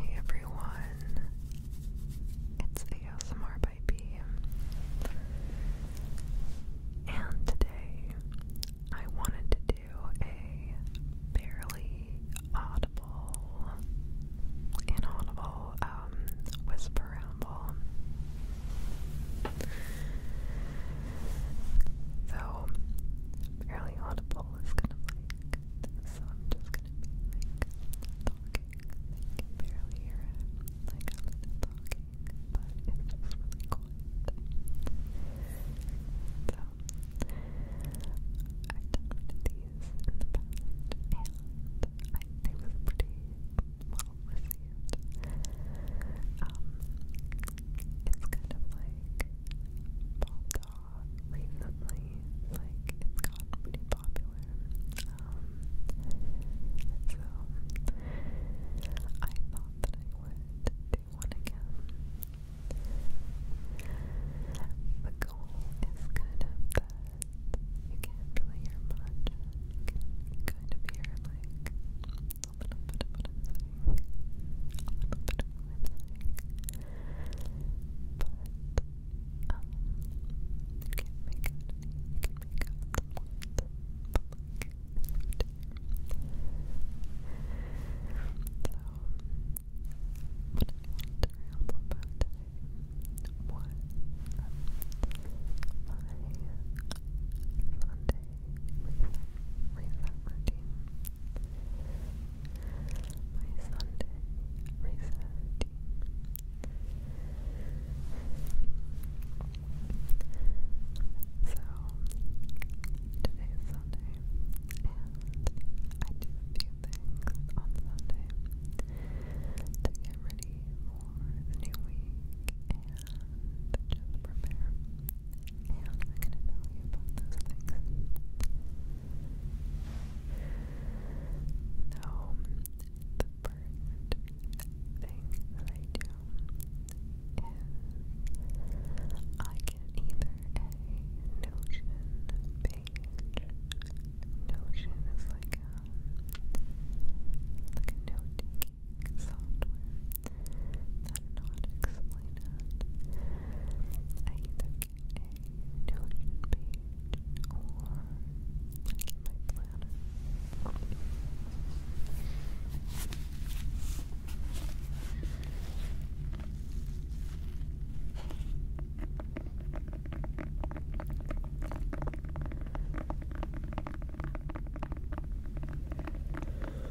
Hey everyone, it's ASMR by B, and today I wanted to do a barely audible, inaudible um, whisper So, barely audible is kind of like so I'm just gonna be talking, barely hear it, like I'm talking, but it's really quiet. So, I've these and I, they was pretty well received. Um, it's kind of like saw recently. Like it's gotten pretty popular. so I thought that I would do one again. The goal is kind of that you can't really hear much. kind of hear like a little bit of what a little bit of what but, um, you can make out, you can make out the month, but like, So, what I wanted to ramble about today was, um, my Sunday reset, reset routine. Um, my Sunday reset So today is Sunday, and I do things on Sunday to get ready for the new week and just prepare. And I'm going to tell you about those things. So, the first thing that I do is I get either a Notion page. Notion is like a, like a note taking software. That not explain it. I either get a notion page or I get my planner.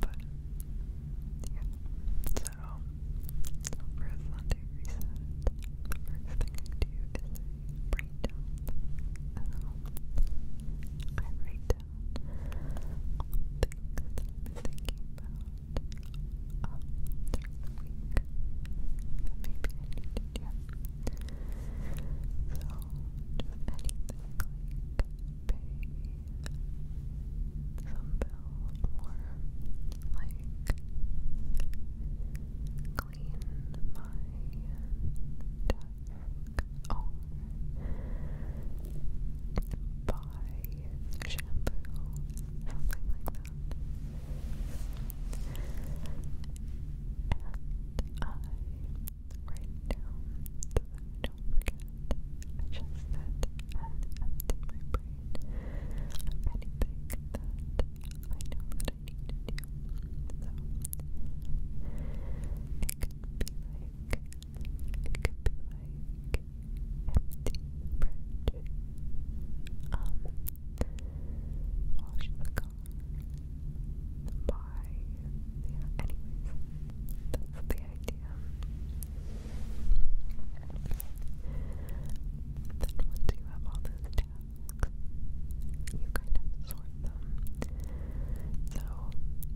But, yeah. Uh, so, for Sunday reset, the first thing I do is write down. Um, I write down all the things I've thinking about um, the week that maybe I need So, to anything like pay some bill or like clean my desk or buy shampoo, something like that. And I Write down I don't forget. I shall sit and empty my brain anything that I know that I need to do. it could be like it could be like empty the Um wash the by yeah, anyways, that's the idea. Then once you have all those tags, you kind of sort them. So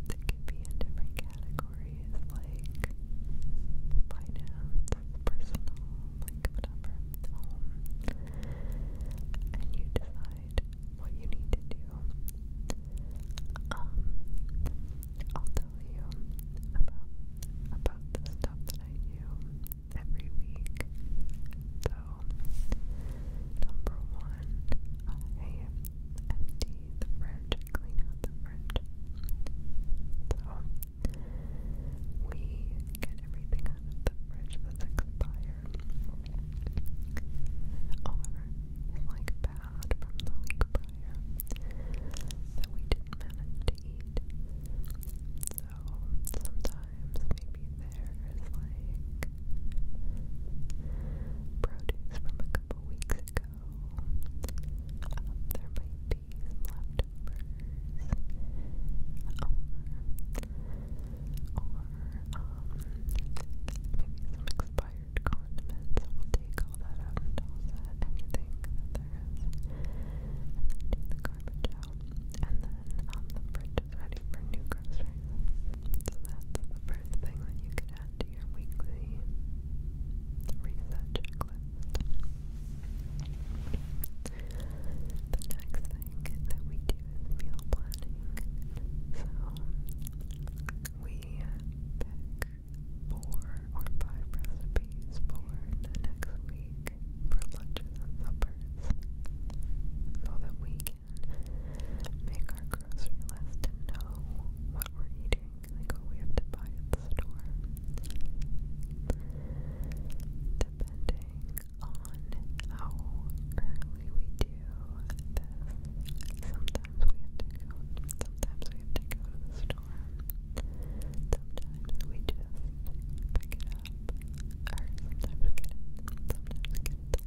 they could be in different categories like finance, personal, like whatever, And you decide decide what you need to do. Um, I'll tell you about about the stuff that I do every week. So, number one, I empty the fridge, clean out the fridge. So we get everything out of the fridge that's expired are, like bad from the week prior, that we didn't manage to eat. So sometimes maybe there's like produce from a couple weeks ago. Um, there might be some or maybe some expired condiments. We'll take all that out and toss it, anything that there is, and then the garbage out. And then um, the fridge is ready for new groceries. So that's the first thing that you can add to your weekly reset checklist. The next thing that we do meal planning. So we pick four or five recipes for the next week for lunches and suppers so that we can make our grocery list and know what we're eating, like what we have to buy at the store. Depending on how early we do this. Sometimes we have to sometimes we have to go to the store. Sometimes we just pick it up. Or sometimes we get it, sometimes we get it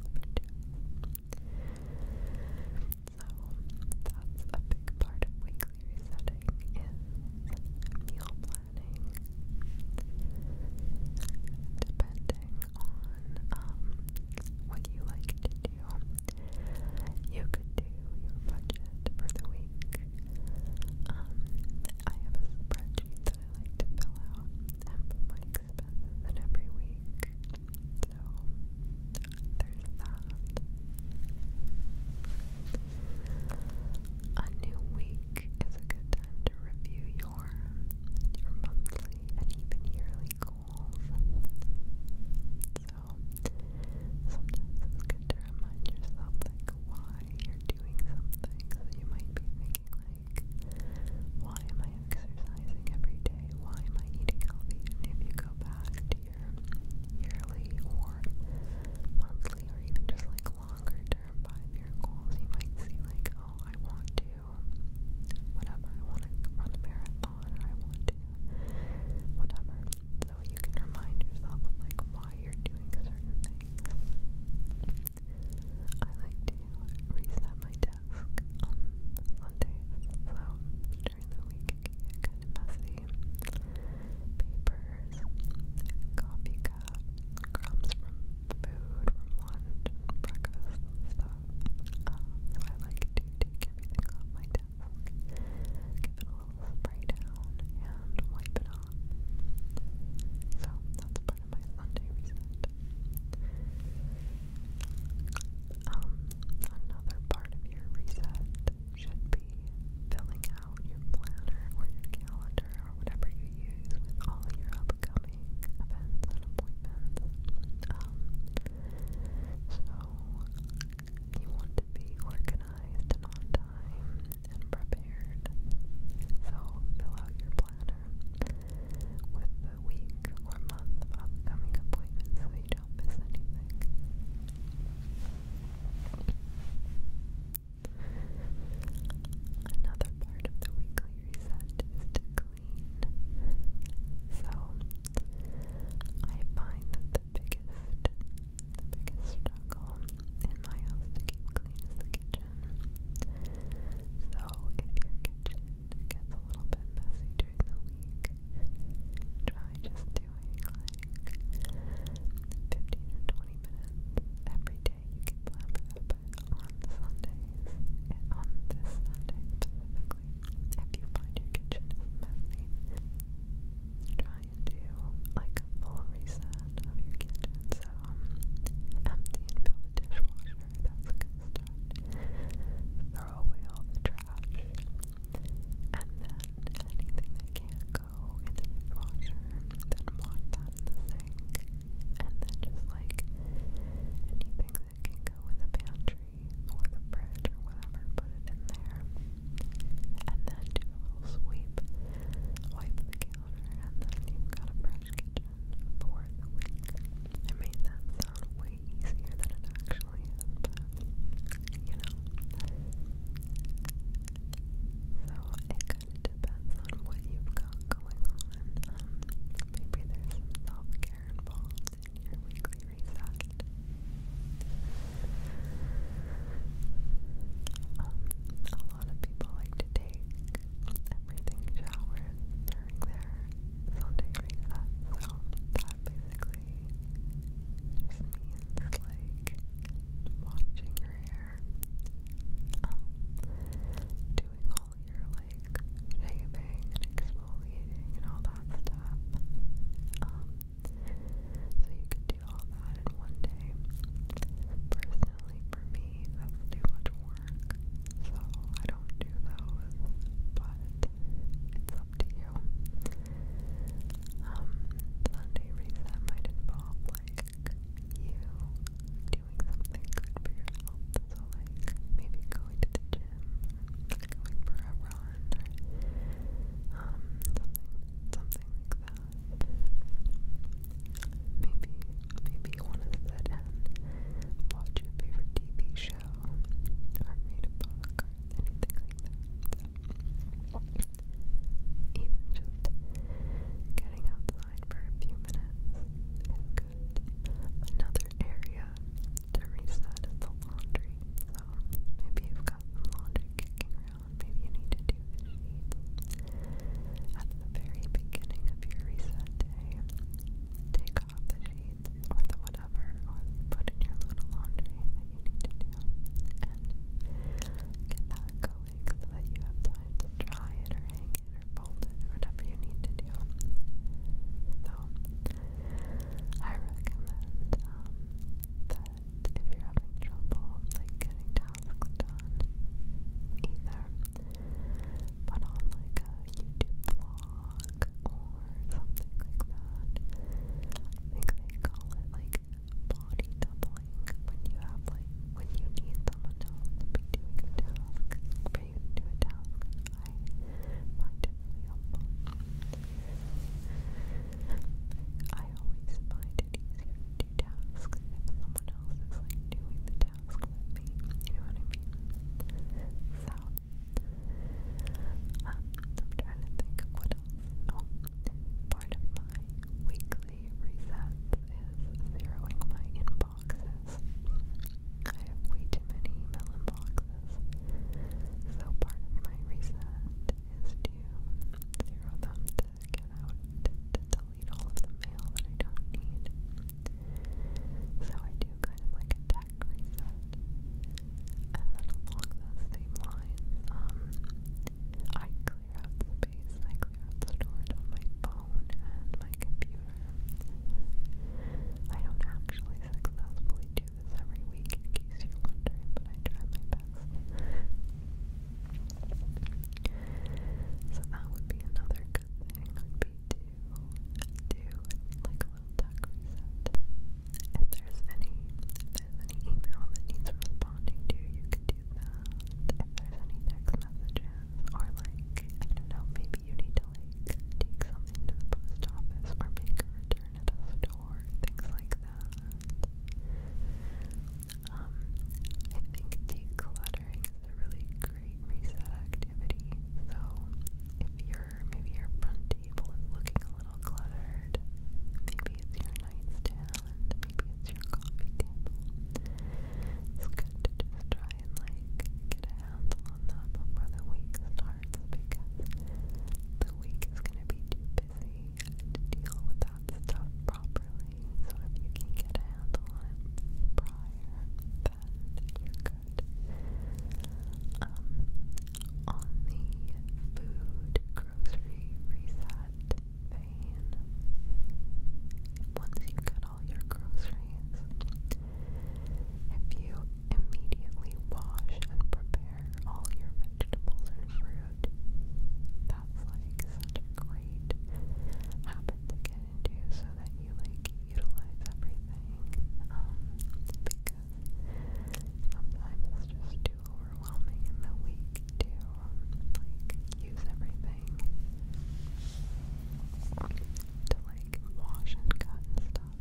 So that's a big part of weekly resetting is meal planning. Depending on um, what you like to do. You could do your budget for the week. Um, I have a spreadsheet that I like to fill out and put my expenses in every week. So there's that. A new week is a good time to review your your monthly and even yearly goals. So sometimes it's good to remind yourself like why you're doing something. So you might be thinking like, why am I exercising every day? Why am I eating healthy? And if you go back to your yearly or monthly or even just like longer term five year goals, you might see like, oh I want to whatever. I want to run a marathon or I want to whatever. So you can remind yourself like why you're doing certain things. I like to reset my desk on Sundays, so during the week it get kind of messy. Papers, coffee cup, crumbs from food from lunch breakfast stuff. Um, I like to take everything off my desk, give it a little spray down, and wipe it off. So that's part of my Sunday reset. Um, another part of your reset should be filling out your planner or your calendar or whatever you you use with all your upcoming events and appointments. Um, so you want to be organized and on time and prepared. So fill out your planner with the week or month of upcoming appointments so you don't miss anything. Another part of the weekly reset is to clean. So I find that the biggest the biggest struggle in my house to keep clean is the kitchen. So if your kitchen gets a little bit messy during the week, try just doing like 15 or 20 minutes every day. You can plan for that, on Sundays, on this Sunday specifically, if you find your kitchen messy, try and do like a full reset of your kitchen. So, empty and fill the dishwasher, that's a good start. Throw away all the trash, and then anything that can go in the dishwasher, then wash that on the sink, and then just like anything that can go in the pantry or the fridge or whatever, put it in there, and then do a little sweep, wipe the counter, and then you've got a fresh kitchen for the week. I made that sound way easier than it actually is, you know. So it it depends on what you've got going on. maybe there's self-care involved in your weekly reset. Um, a lot of people like to take everything showers during their Sunday reset, so that basically just means like washing your hair um, doing all your like shaving and exfoliating and all that stuff. Um, so you can do all that one day. Personally, for me, that's too much work, so I don't do those. But it's up to you. Um, Sunday reset might involve like you doing something good for your health. So like maybe going to the gym, going for a run, um something something like that. Maybe maybe you want to sit and watch your favorite TV show read a book anything like that. even just getting outside outside for a few minutes Another area to reset is the laundry. So maybe you've got laundry kicking around, maybe you need to do sheets. At the very beginning of your reset day, take off the sheets or the whatever, or put in your little laundry that you need to do, and get that going like so that you have time to dry it or hang it or fold it whatever you need to do. So I recommend um, that if you're having trouble like getting tasks done either put on like a YouTube vlog or something like that. I think they call it like body doubling when you have like when you need someone else to be doing a task for you to do a task. I find it really helpful. I always find it easier to do tasks if someone else is like doing the task with me. You know what I mean? So um, I'm trying to think of what else. Oh, Part of my weekly resets is zeroing my inboxes. I have way too many email inboxes. So part of my reset is to zero them to get out, to, delete all of the mail that I don't need. So I do kind of like a tech reset. And then along those same lines, um, I clear out space, I clear out storage on my phone and my computer. I don't actually successfully do this every week, in case you're wondering, but I try my best. So that would be another good thing, would be to do like a little tuck If there's any there's any email that needs responding to, you can do that. If there's any text messages, or like, I don't know, maybe you need to like take something to the post office or make a return at a store, things like that. Um, I think decluttering is a really great reset activity. So if your maybe your front table is looking a little cluttered, maybe it's your nightstand Island. Maybe it's your coffee table. It's good to just try and like get a handle on that before the week starts because the week is going to be too busy to deal with that stuff properly. So if you can get a handle on it prior, then you're good. on the food grocery reset, vein. Once you get all your groceries, if you immediately wash and prepare all your vegetables and fruit, that's like such a great habit to get into so that you like utilize everything. Um, because sometimes just too overwhelming in the week to um, like use everything to like wash and cut stuff.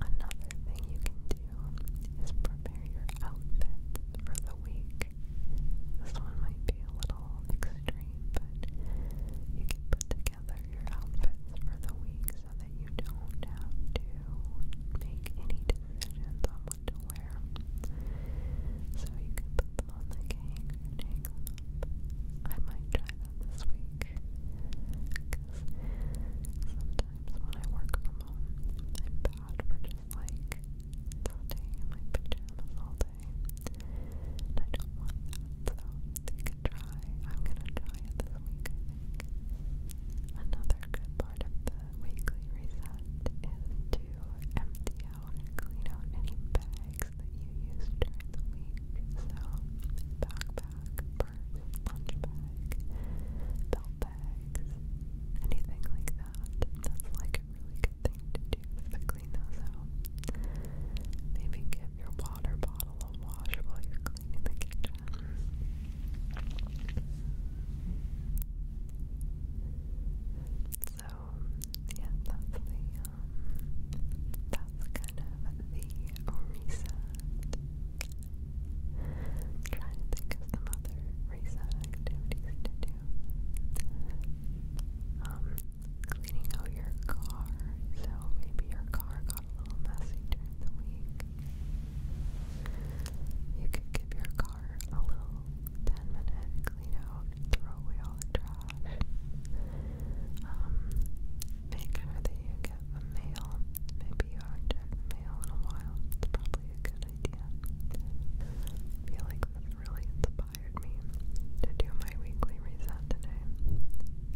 Another thing you can do is prepare your outfit for the week. This one might be a little extreme, but you can put together your outfits for the week so that you don't have to make any decisions on what to wear. So you can put them on the cake I might try that this week. sometimes when I work from home, I'm bad for just like staying my pajamas all day. And I don't want that, so they could try. I'm gonna try it this week, Another good part of the weekly reset is to empty out and clean out any bags that you use during the week. So, backpack, purse, lunch bag, belt bags, anything like that. That's like a really good thing to do to clean those out. Maybe give your water bottle a wash while you're in the So yeah, that's the um, that's kind of the reset. trying to think of some other reset activities to do. Um, cleaning out your car. So maybe your car got a little messy during the week, you could give your car a little 10 minute clean throw away all the trash. Um, make sure that you get the mail. Maybe you haven't checked mail in a while. It's probably a good idea. feel like this really inspired me to do my weekly reset today.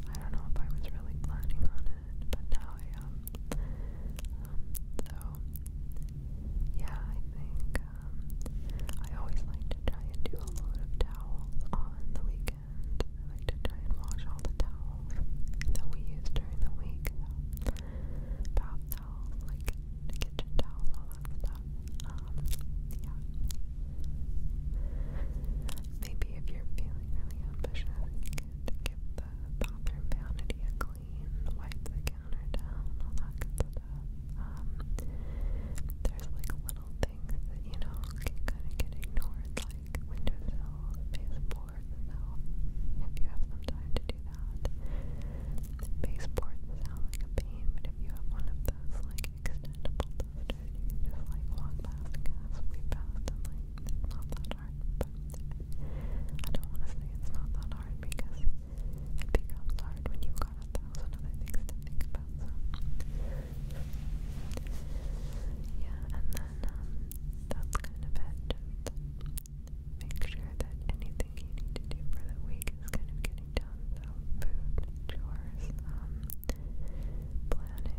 I don't know if I was really planning on it then, but now I Um, so, yeah, I think um, I always like to try and do a load of towels on the weekend. I like to try and wash all the towels that we use during the week. bath towels, like kitchen towels, all that stuff. Um, yeah. Maybe if you're feeling really ambitious, you could give the bathroom vanity clean, wipe the counter down, all that good stuff. Um, there's like little things that you know kind of get ignored, like windowsills, baseboards. So if you have some time to do that, baseboards sound like a pain, but if you have one of those like extendable dusters, you just like walk past and sweep past, and like not that just but I don't want to say it's not that hard because it becomes hard when you've got a thousand other things to think about. yeah, and then um, that's kind of it. make sure that anything you need to do for the week is kind of getting done. So food, chores, um, planning,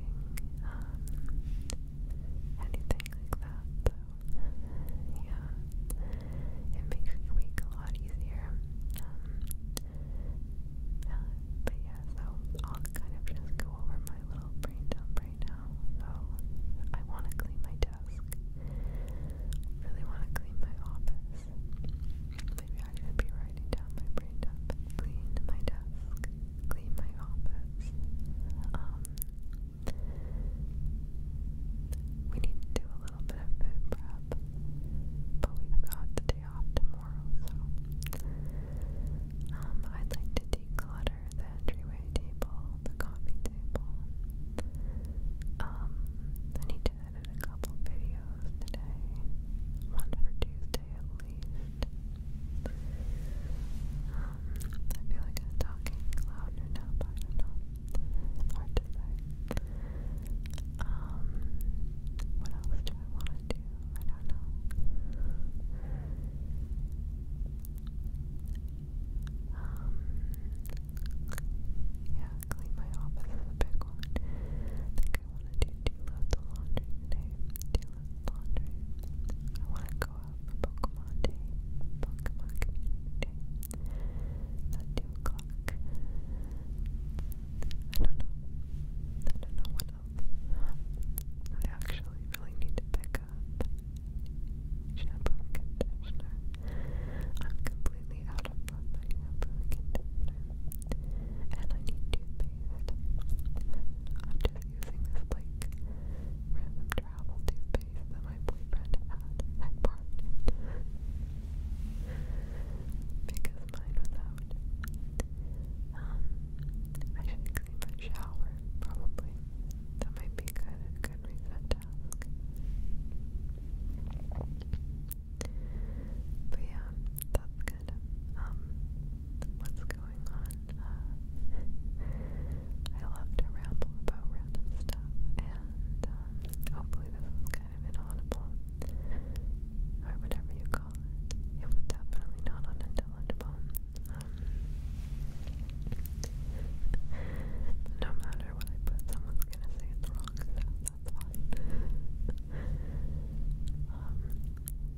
um, anything like that. So, yeah, it makes your week a lot easier. Um, but yeah, so I'll kind of just go over my little brain dump right now. So, I want to clean my desk. Really want to clean my office. Maybe I should be writing down my brain dump. Clean my desk clean my office. Um, we need to do a little bit of prep, but we've got the day off tomorrow, so um, I'd like to declutter the entryway table, the coffee table. Um, I need to edit a couple videos today, one for day at least. Um, I feel like I'm talking louder now, but I don't know. Um, what else do I want to do? I don't know. Um, yeah, clean my office is a big one. I think I want to do two loads of laundry today. I want to go out for Pokemon Day, Pokemon Community Day at 2 o'clock. I don't know. I don't know what else. I actually really need to pick up shampoo and conditioner. I'm completely out of shampoo and conditioner. And I need toothpaste using this like random travel toothpaste that my boyfriend had at parked because mine was out. Um, I should clean my shower probably. That might be good a good reset task. But yeah, that's good. Um, what's going on? Uh, I love to ramble about random stuff, and um, hopefully this is kind of inaudible, or whatever you call it. It definitely not unintelligible. Um, no matter what someone's gonna say it's wrong, so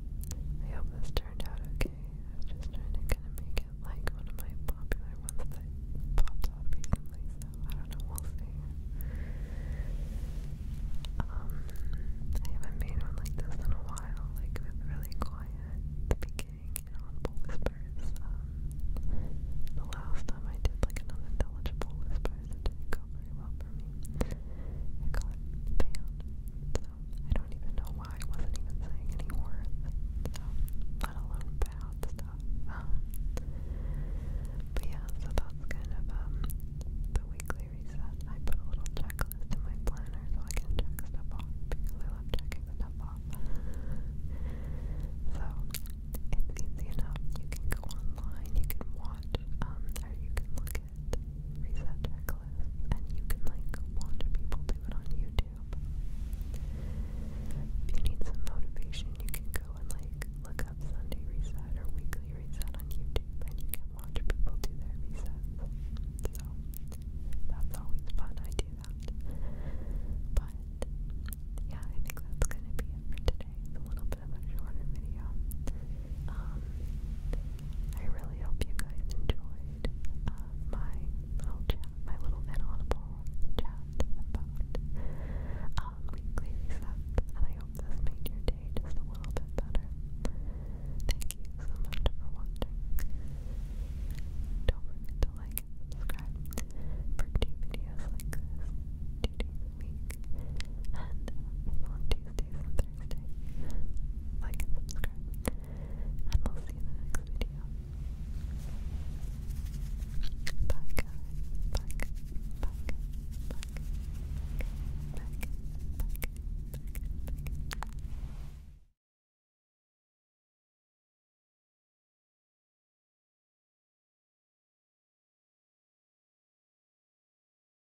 I hope this turned out okay. I was just trying to kind of make it like one of my popular ones that popped up recently, so I don't know, we'll see. Um, I haven't made one like this in a while, like with really quiet speaking and audible whispers. Um, the last time I did like an unintelligible whispers, it didn't go very well for me. I got banned, so I don't even know why I wasn't even saying any words, um, let alone bad stuff. but yeah, so that's kind of um, the weekly reset. I put a little checklist in my planner so I can check stuff off I love checking stuff off. so it's easy enough. You can go online, you can watch, um, or you can look reset checklist, and you can like watch people do it on YouTube. If you need some motivation, you can go and like look up Sunday reset or weekly reset on YouTube, and you can watch people do their resets. So that's always fun. I do that, but yeah, I think that's gonna be it for today. It's a little bit of a shorter video. Um, I really hope you guys enjoyed uh, my little chat, my little inaudible chat about um, weekly resets, and I hope this made your day just a little bit better. Thank you so much for watching. Don't forget to like subscribe for two videos like this two days and on Tuesdays Thursday. Like and subscribe. And we'll see you in the next video. Bye